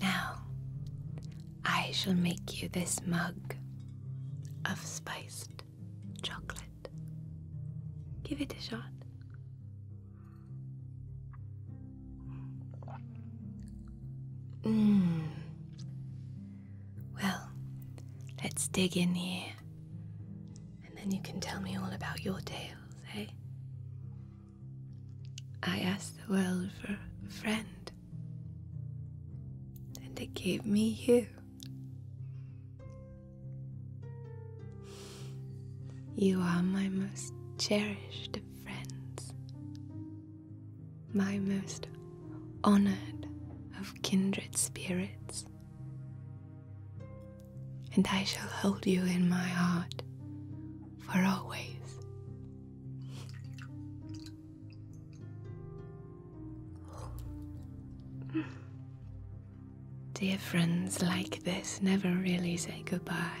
Now, I shall make you this mug of spiced chocolate. Give it a shot. Mmm. Well, let's dig in here. And then you can tell me all about your tales, eh? I asked the world for a friend, and they gave me you. You are my most cherished of friends, my most honored of kindred spirits, and I shall hold you in my heart for always. Dear friends like this never really say goodbye.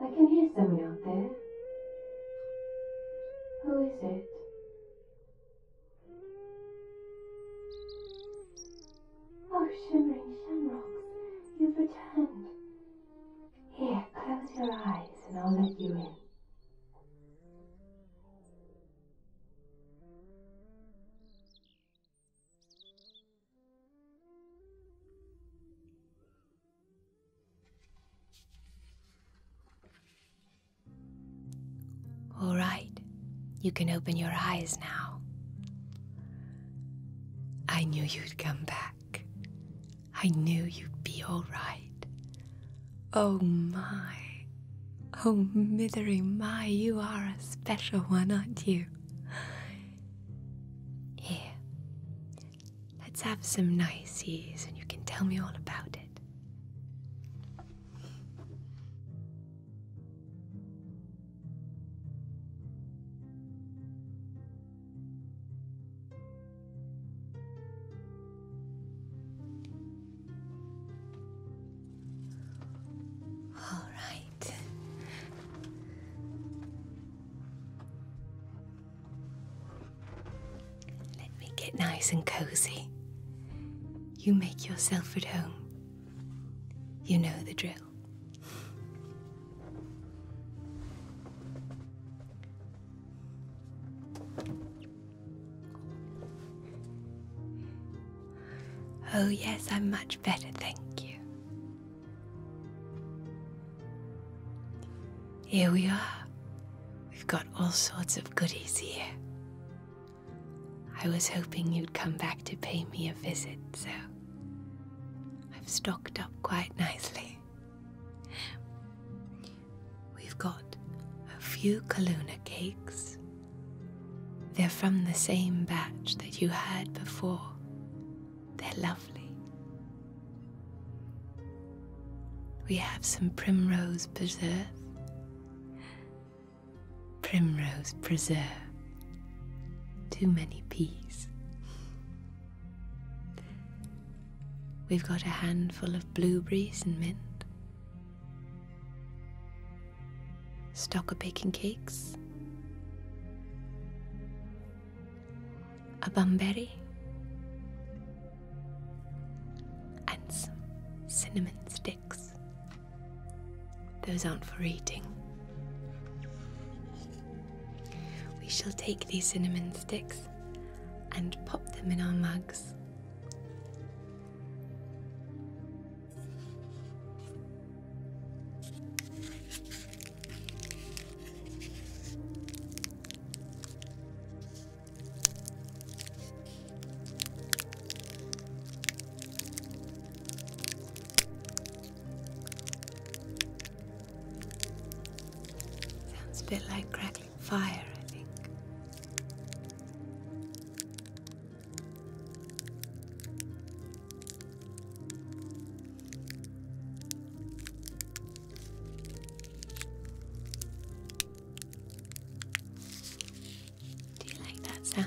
I can hear someone out there. Who is it? Oh, shimmering shamrocks, you've returned. Here, close your eyes and I'll let you in. All right, you can open your eyes now. I knew you'd come back. I knew you'd be all right. Oh my, oh mithery my, you are a special one, aren't you? Here, let's have some niceties and you can tell me all about it. All right. Let me get nice and cozy. You make yourself at home. You know the drill. Oh, yes, I'm much better, thank you. Here we are. We've got all sorts of goodies here. I was hoping you'd come back to pay me a visit, so I've stocked up quite nicely we've got a few Kaluna cakes. They're from the same batch that you had before. They're lovely. We have some primrose preserve. Primrose preserve. Too many peas. We've got a handful of blueberries and mint. Stock a baking cakes. A bumberry. And some cinnamon sticks. Those aren't for eating. We shall take these cinnamon sticks and pop them in our mugs Sounds a bit like crack fire, I think. Do you like that sound?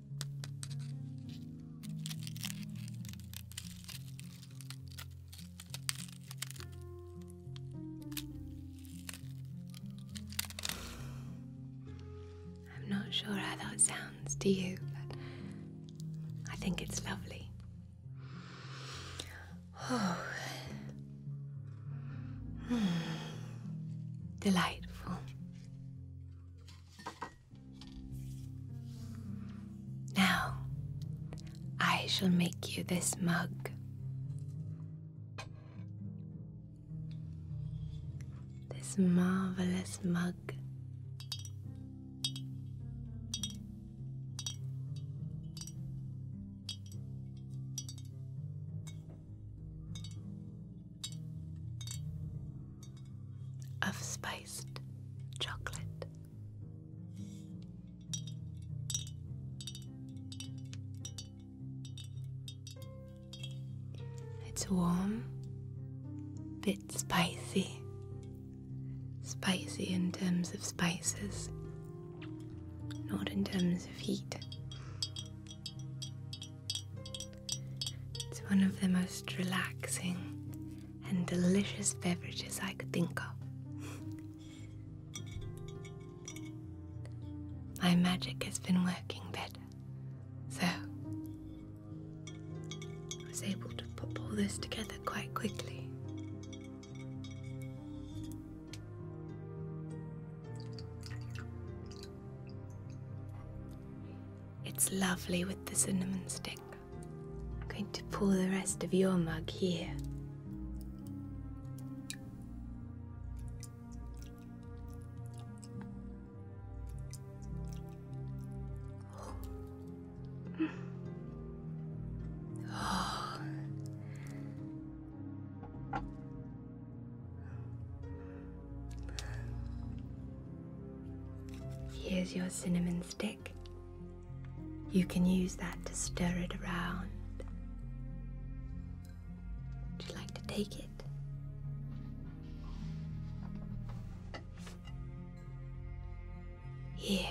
I'm not sure how that sounds to you, but I think it's lovely. Oh. Hmm. Delightful. Now, I shall make you this mug. This marvelous mug of spiced chocolate. It's warm, bit spicy, spicy in terms of spices, not in terms of heat. It's one of the most relaxing and delicious beverages I could think of. My magic has been working better, so I was able to put all this together quite quickly. It's lovely with the cinnamon stick. I'm going to pour the rest of your mug here. Here's your cinnamon stick. You can use that to stir it around. Would you like to take it? Here.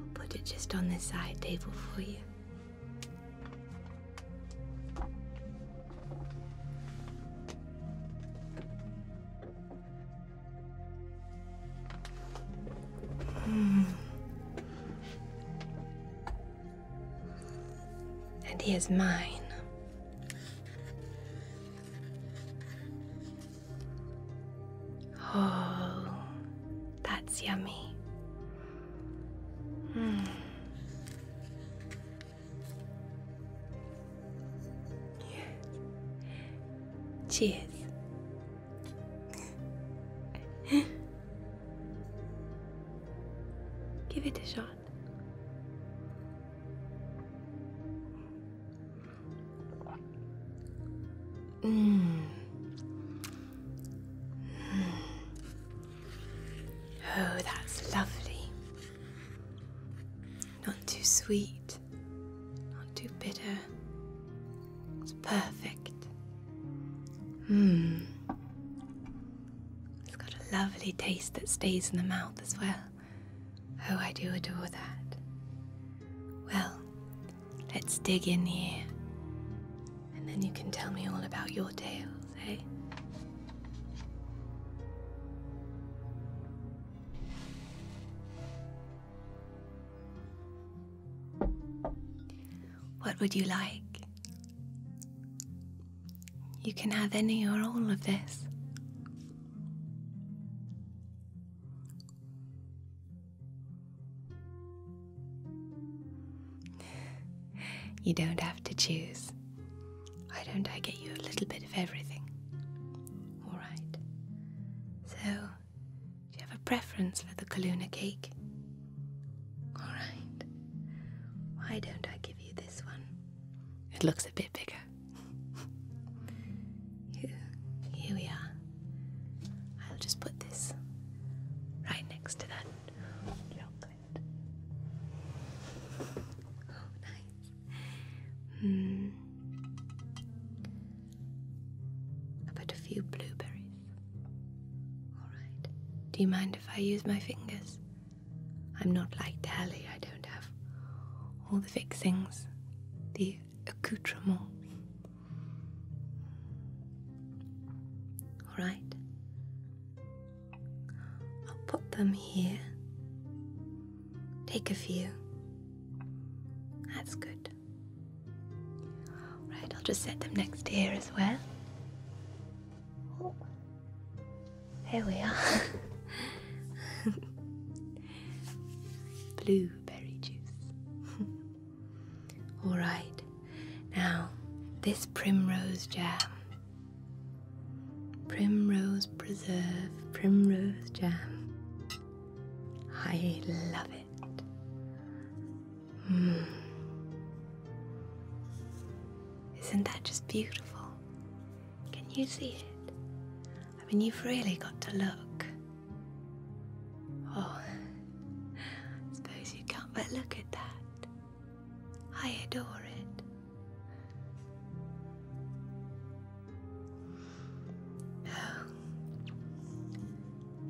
I'll put it just on this side table for you and he is mine. Oh, that's yummy. Hmm. Cheers. Give it a shot. Mm. Mm. Oh, that's lovely. Not too sweet, not too bitter. It's perfect. Mmm. It's got a lovely taste that stays in the mouth as well. Oh, I do adore that. Well, let's dig in here. And then you can tell me all about your tale. What would you like? You can have any or all of this. You don't have to choose. Why don't I get you a little bit of everything? All right. So, do you have a preference for the Kaluna cake? All right. Why don't I give you this one? It looks a bit bigger. Here we are. I'll just put this right next to that it. Oh, nice. Hmm. About a few blueberries. Alright. Do you mind if I use my fingers? I'm not like Tally, I don't have all the fixings, the accoutrements. Alright. I'll put them here. Take a few. That's good. Right, I'll just set them next to here as well. Oh, there we are. Blueberry juice. All right, now this primrose jam primrose preserve, primrose jam. I love it. Mm. not that just beautiful? Can you see it? I mean, you've really got to look. Oh, I suppose you can't but look at that. I adore it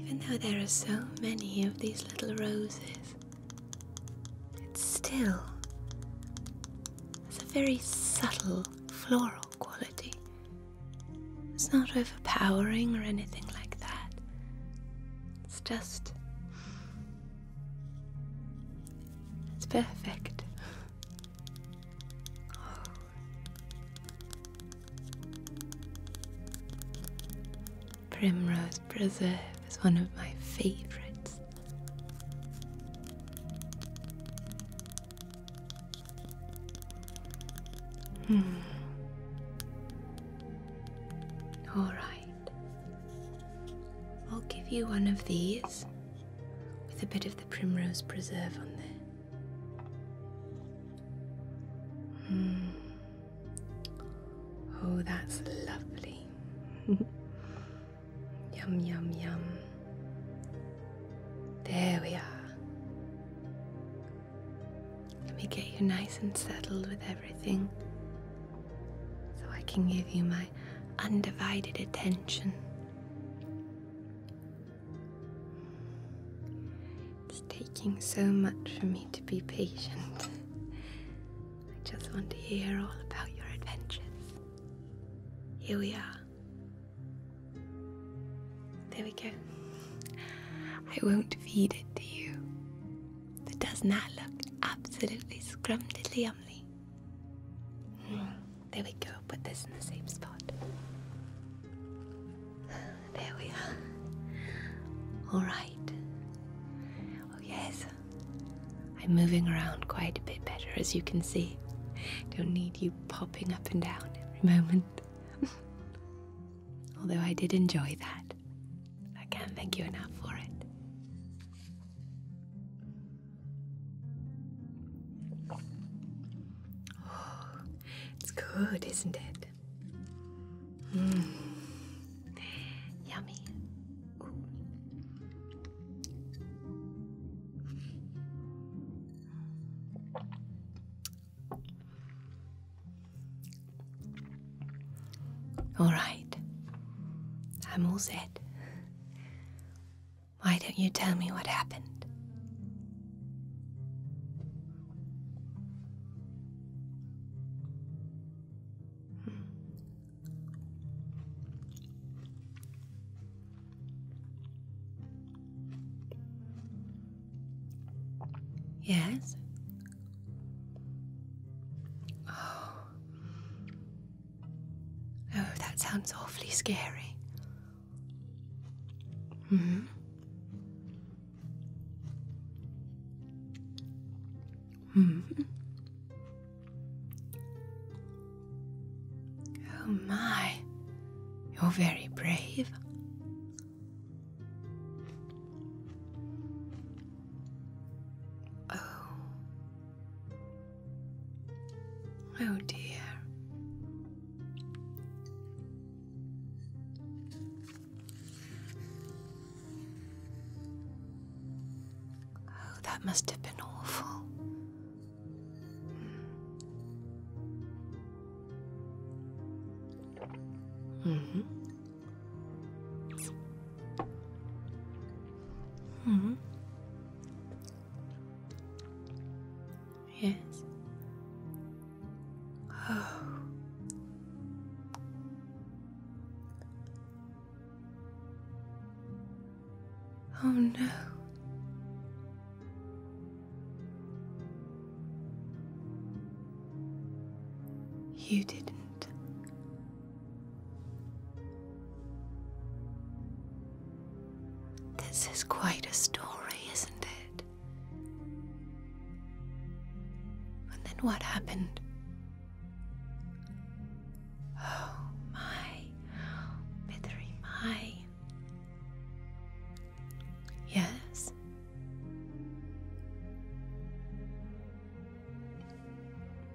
even though there are so many of these little roses, it's still has a very subtle floral quality. It's not overpowering or anything like that. It's just. It's perfect. Primrose Preserve is one of my favorites. Hmm. All right. I'll give you one of these with a bit of the primrose preserve on there. Hmm. Oh, that's lovely. yum, yum, yum. There we are. Let me get you nice and settled with everything so I can give you my undivided attention. It's taking so much for me to be patient. I just want to hear all about your adventures. Here we are. There we go. I won't feed it to you. But doesn't that look absolutely scrumdiddlyumly? Mm. There we go. Put this in the same spot. There we are. All right. Oh, yes. I'm moving around quite a bit better, as you can see. Don't need you popping up and down every moment. Although I did enjoy that. I can't thank you enough for it. it's good, isn't it? Hmm. Yummy. All right, I'm all set. Why don't you tell me what happened? Yes? Oh. Oh, that sounds awfully scary. Hmm. Hmm. Oh my, you're very brave. Oh. Oh dear. Oh, that must have been awful. hmm. hmm. Yes. Oh. Oh no. You didn't. This is quite a story, isn't it? And then what happened? Oh my, Mithery, my. Yes.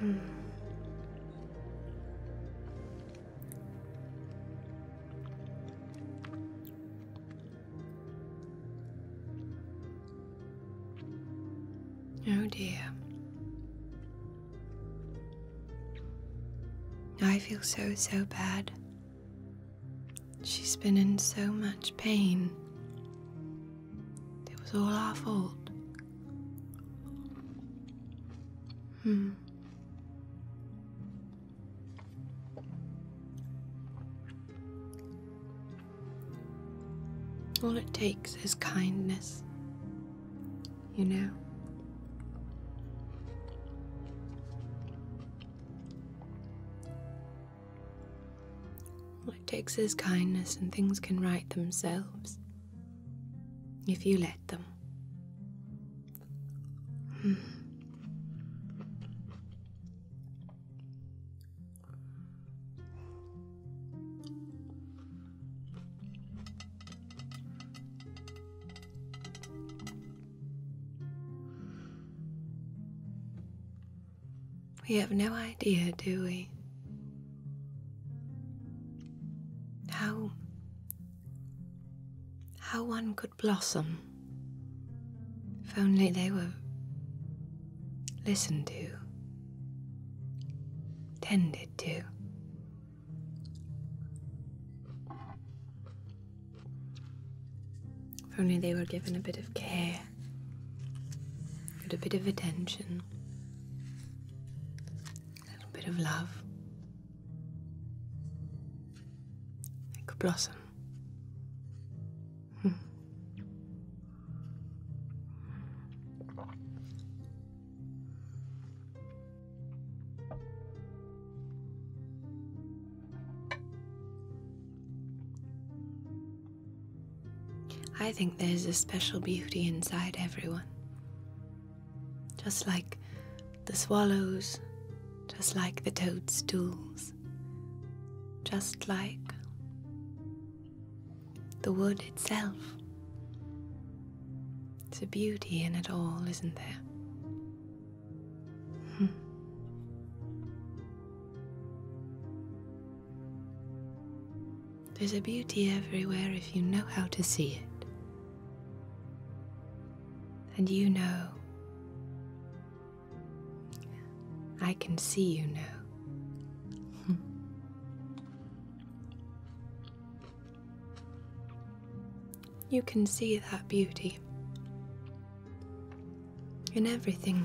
Hmm. Oh dear. I feel so, so bad. She's been in so much pain. It was all our fault. Hmm. All it takes is kindness you know. All it takes is kindness, and things can right themselves if you let them. Hmm. We have no idea, do we? How. how one could blossom if only they were listened to, tended to. If only they were given a bit of care, a bit of attention, a little bit of love, they could blossom. Hmm. I think there's a special beauty inside everyone. Just like the swallows, just like the toadstools, just like the wood itself. It's a beauty in it all, isn't there? Hmm. There's a beauty everywhere if you know how to see it. And you know. I can see you now. You can see that beauty in everything,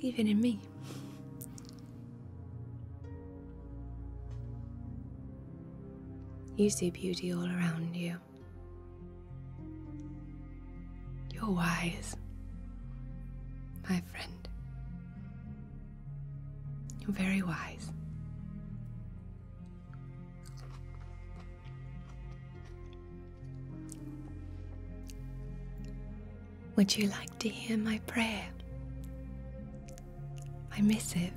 even in me. You see beauty all around you. You're wise, my friend. Very wise. Would you like to hear my prayer? My missive?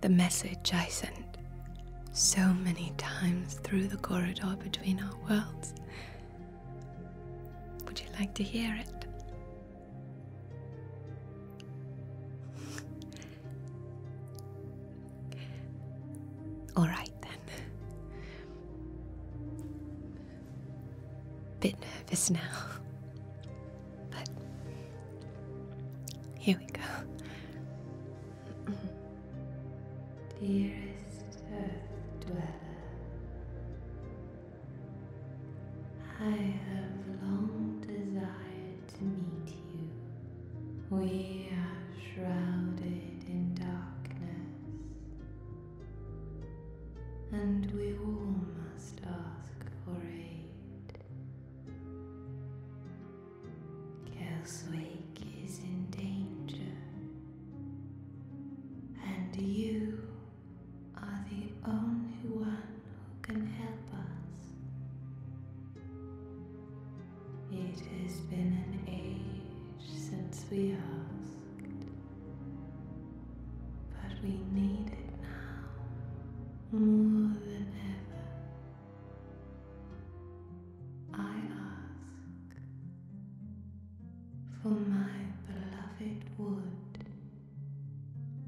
The message I sent so many times through the corridor between our worlds. Would you like to hear it? All right then. Bit nervous now, but here we go. Dearest Earth uh, Dweller, I have long desired to meet you. We are shrouded in darkness, and we all must ask for aid. Kelswake is in danger, and you are the only one who can help us. It has been an age since we asked, but we need it now more than ever. I ask for my beloved wood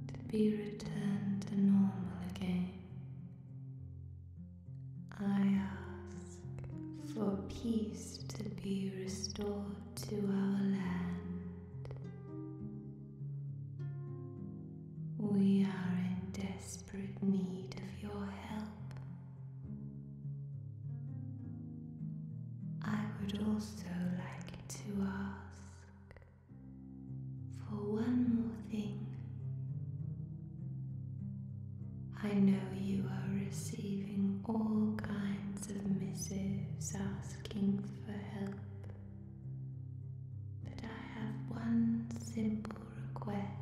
to be returned to normal again. I ask for peace to be restored to our land. We are in desperate need of your help. I would also like to ask for one more thing. I know you are receiving all kinds of missives asking for help, but I have one simple request.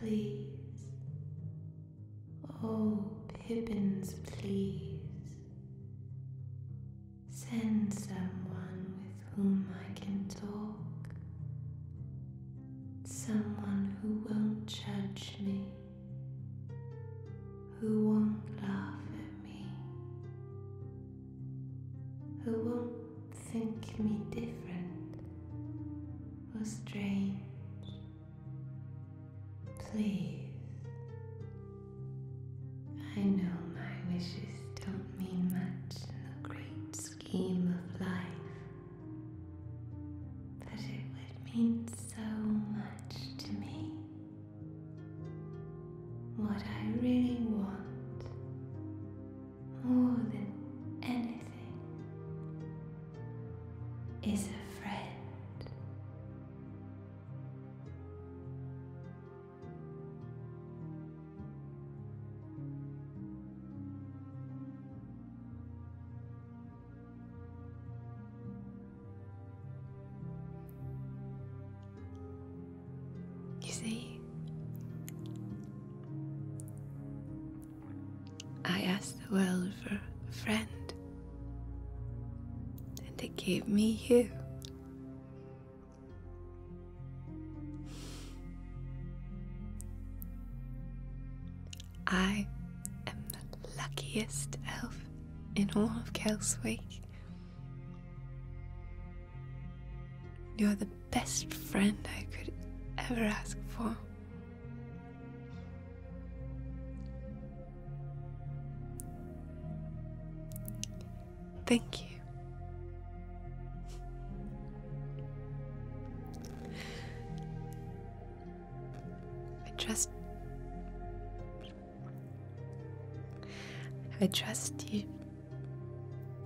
Please Oh, Pippins, please. Send someone with whom I can talk. Someone who won't judge me. Who won't laugh at me. Who won't think me different or strange. Please, I know my wishes don't mean much in the great scheme of life, but it would mean so much to me. What I really want, more than anything, is a friend. You see, I asked the world for a friend and it gave me you. I am the luckiest elf in all of Kelswick. You're the best friend I could ever ask for. Thank you. I trust. I trust you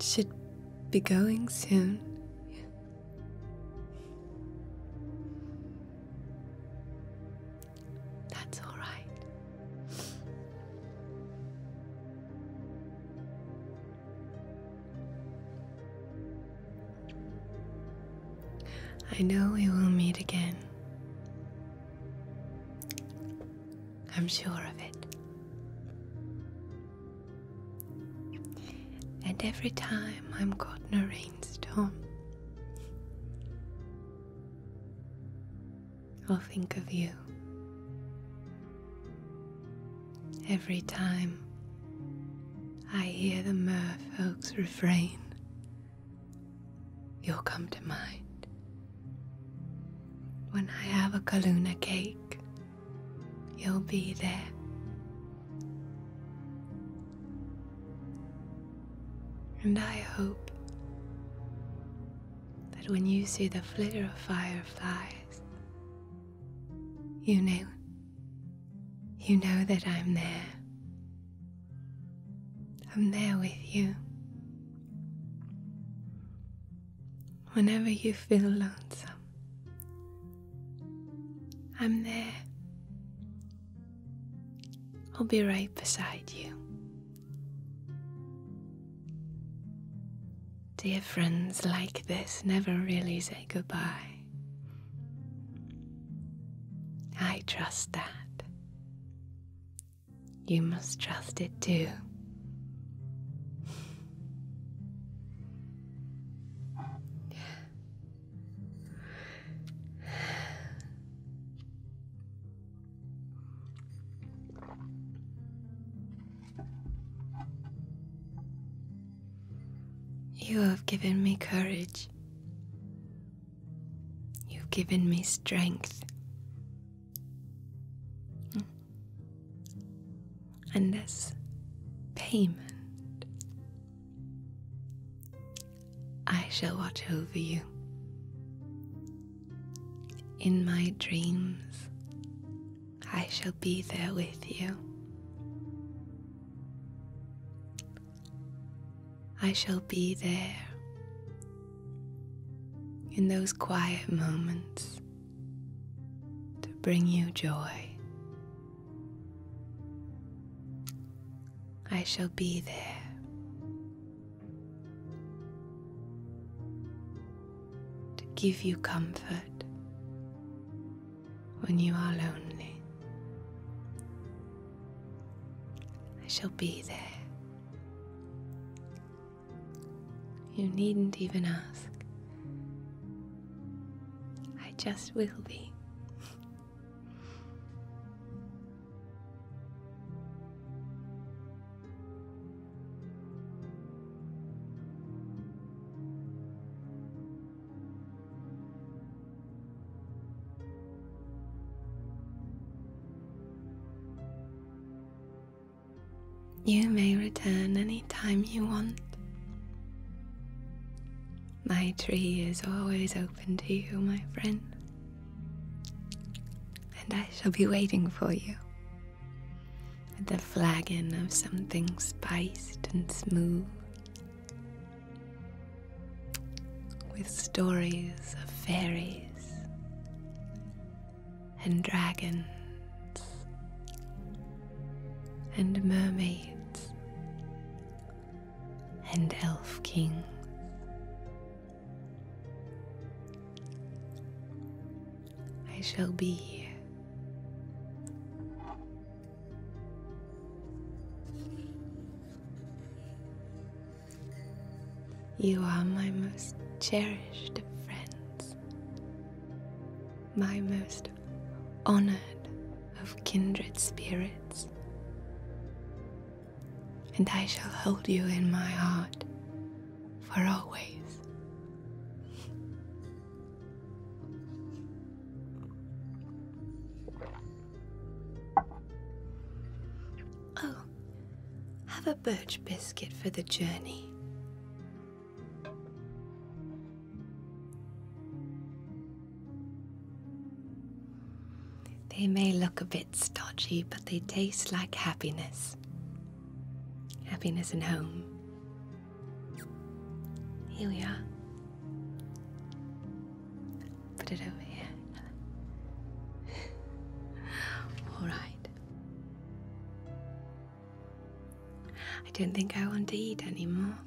should be going soon. That's all right. I know we will meet again. I'm sure of it. And every time I'm caught in a rainstorm, I'll think of you every time I hear the merfolk's refrain. You'll come to mind when I have a Kaluna cake. You'll be there. And I hope that when you see the flitter of fireflies, you know, you know that I'm there. I'm there with you. Whenever you feel lonesome, I'm there. I'll be right beside you. Dear friends like this never really say goodbye. I trust that. You must trust it too. You have given me courage. You've given me strength. And this payment I shall watch over you. In my dreams, I shall be there with you. I shall be there in those quiet moments to bring you joy. I shall be there to give you comfort when you are lonely. I shall be there. You needn't even ask. I just will be. You may return any time you want. My tree is always open to you, my friend and I shall be waiting for you with a flagon of something spiced and smooth, with stories of fairies and dragons and mermaids and elf kings I shall be here. You are my most cherished of friends, my most honored of kindred spirits, and I shall hold you in my heart for always. Oh, have a birch biscuit for the journey. They may look a bit it's dodgy, but they taste like happiness. Happiness and home. Here we are. Put it over here. All right. I don't think I want to eat anymore.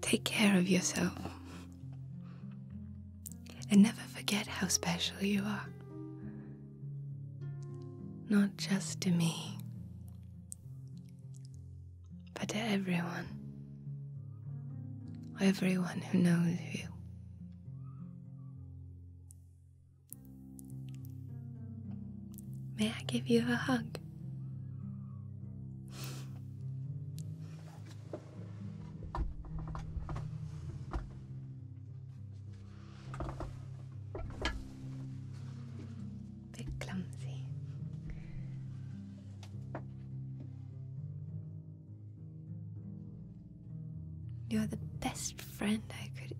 Take care of yourself. And never forget how special you are. Not just to me, but to everyone. Everyone who knows you. May I give you a hug? Bit clumsy. You're the best friend I could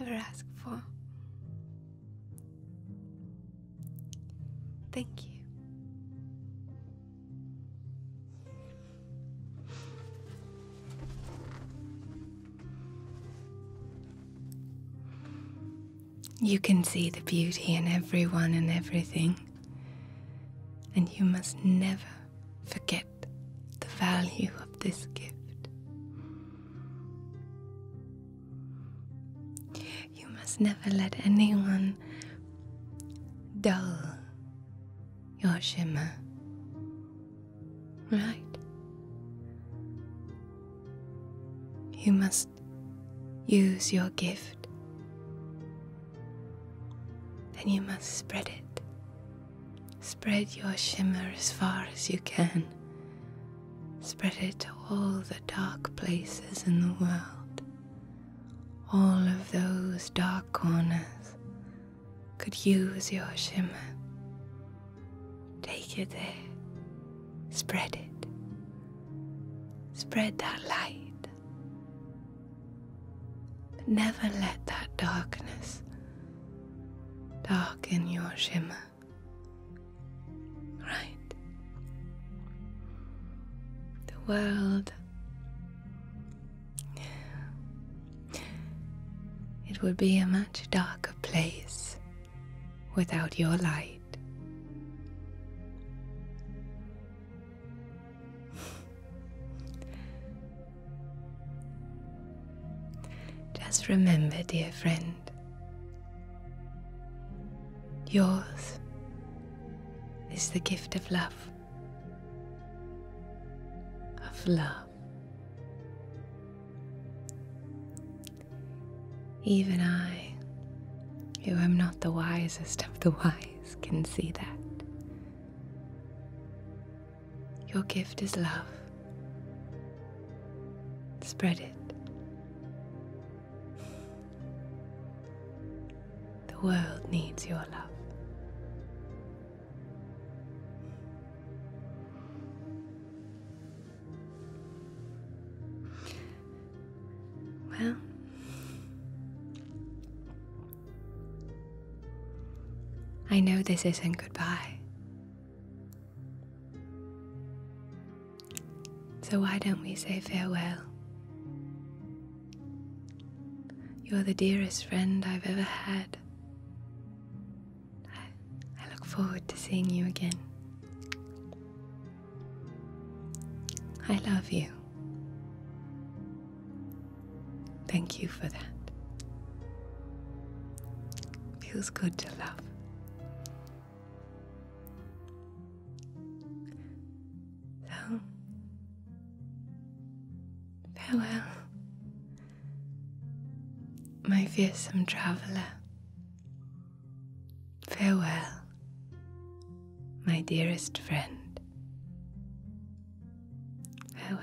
ever ask for. Thank you. You can see the beauty in everyone and everything, and you must never forget the value of this gift. You must never let anyone dull your shimmer, right? You must use your gift, and you must spread it Spread your shimmer as far as you can. Spread it to all the dark places in the world. All of those dark corners could use your shimmer. Take it there. Spread it. Spread that light. Never let that darkness darken your shimmer. Right? The world. It would be a much darker place without your light. Just remember, dear friend, yours is the gift of love, of love. Even I, who am not the wisest of the wise, can see that. Your gift is love. Spread it. The world needs your love. Well, I know this isn't goodbye. So why don't we say farewell? You're the dearest friend I've ever had. I, look forward to seeing you again. I love you. Thank you for that. Feels good to love. farewell, my fearsome traveller. Farewell, my dearest friend. Farewell.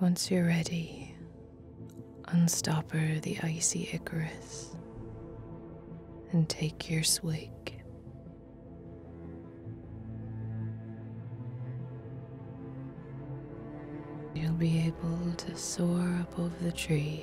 Once you're ready, unstopper the icy Icarus and take your swig. You'll be able to soar up over the trees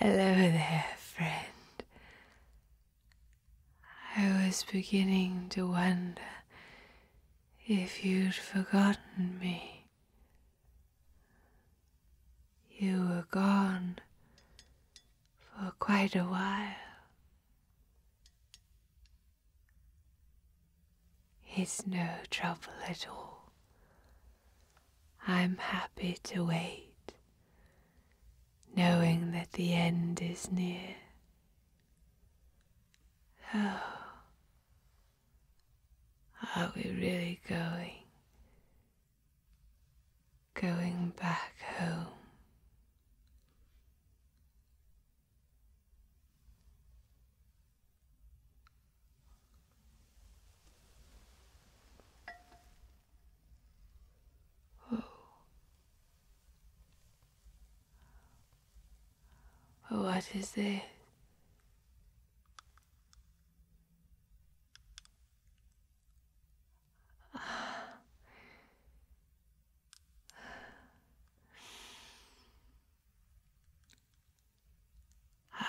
Hello there, friend. I was beginning to wonder if you'd forgotten me. You were gone, for quite a while. It's no trouble at all. I'm happy to wait, knowing that the end is near. Oh, are we really going going back home. Whoa. What is this?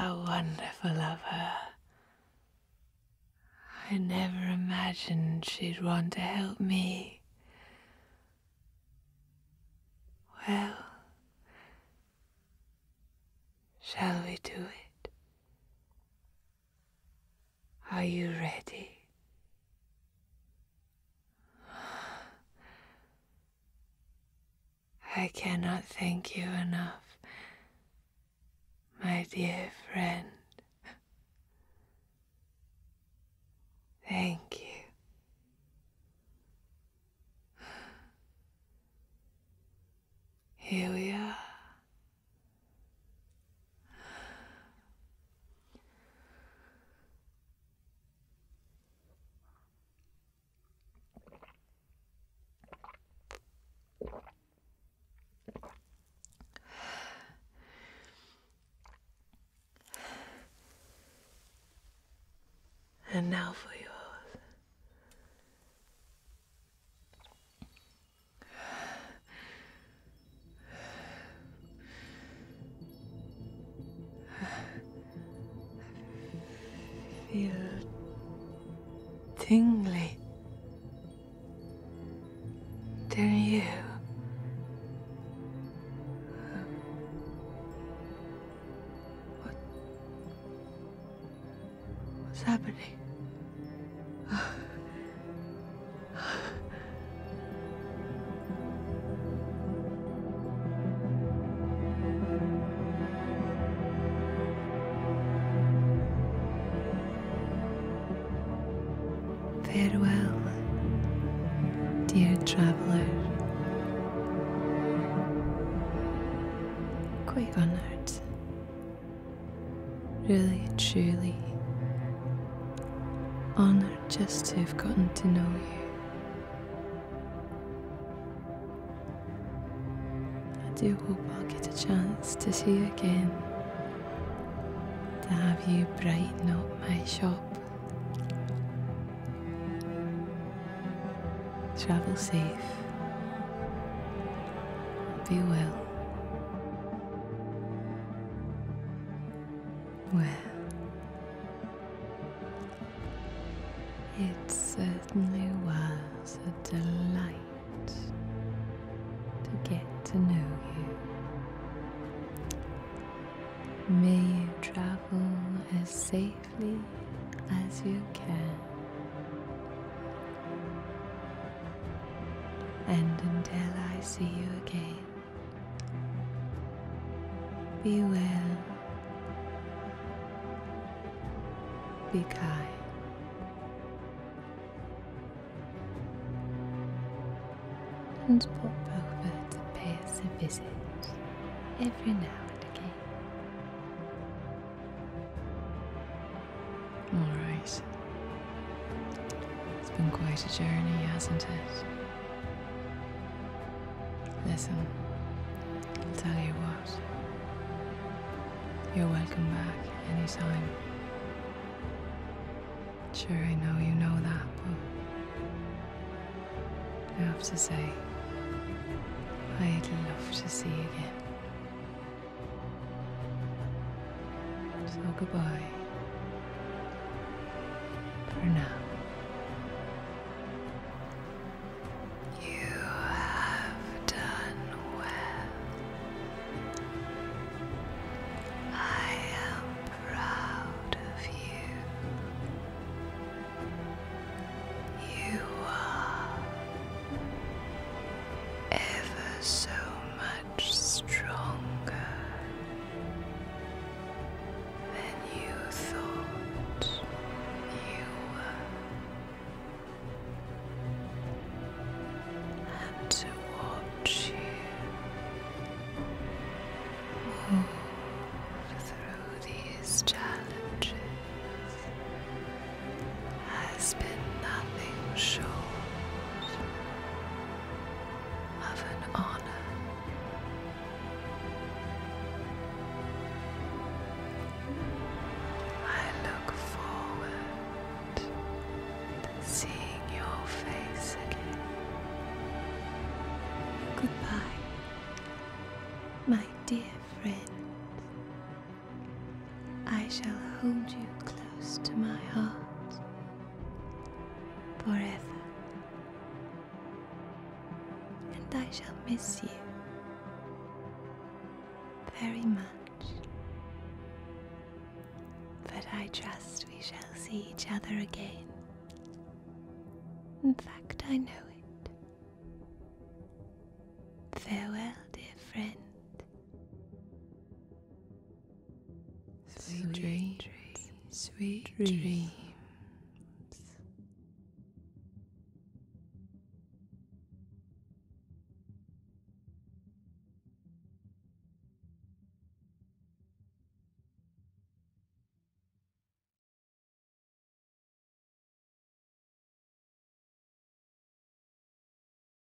How wonderful of her. I never imagined she'd want to help me. Well, shall we do it? Are you ready? I cannot thank you enough, my dear friend. Thank you. Here we are. And now for yours feel tingly. do you? What? What's happening? Farewell, dear traveler. Quite honored really, truly honored just to have gotten to know you. I do hope I'll get a chance to see you again, to have you brighten up my shop. Travel safe. Be well. Well, it certainly was a delight to get to know you. May you travel as safely as you can. And until I see you again, be well, be kind. And pop over to pay us a visit every now and again. Alright. It's been quite a journey, hasn't it? Listen, I'll tell you what. You're welcome back anytime. Sure, I know you know that, but I have to say, I'd love to see you again. So goodbye for now. You have done well. I am proud of you. You are ever so much stronger than you thought you were, and to watch you move through these challenges has been nothing short of an honor. I look forward to seeing your face again. Goodbye, my dear friend. I shall hold you close to my heart forever. And I shall miss you very much. But I trust we shall see each other again. In fact, I know it. Farewell, dear friend. Sweet, dreams. sweet dreams.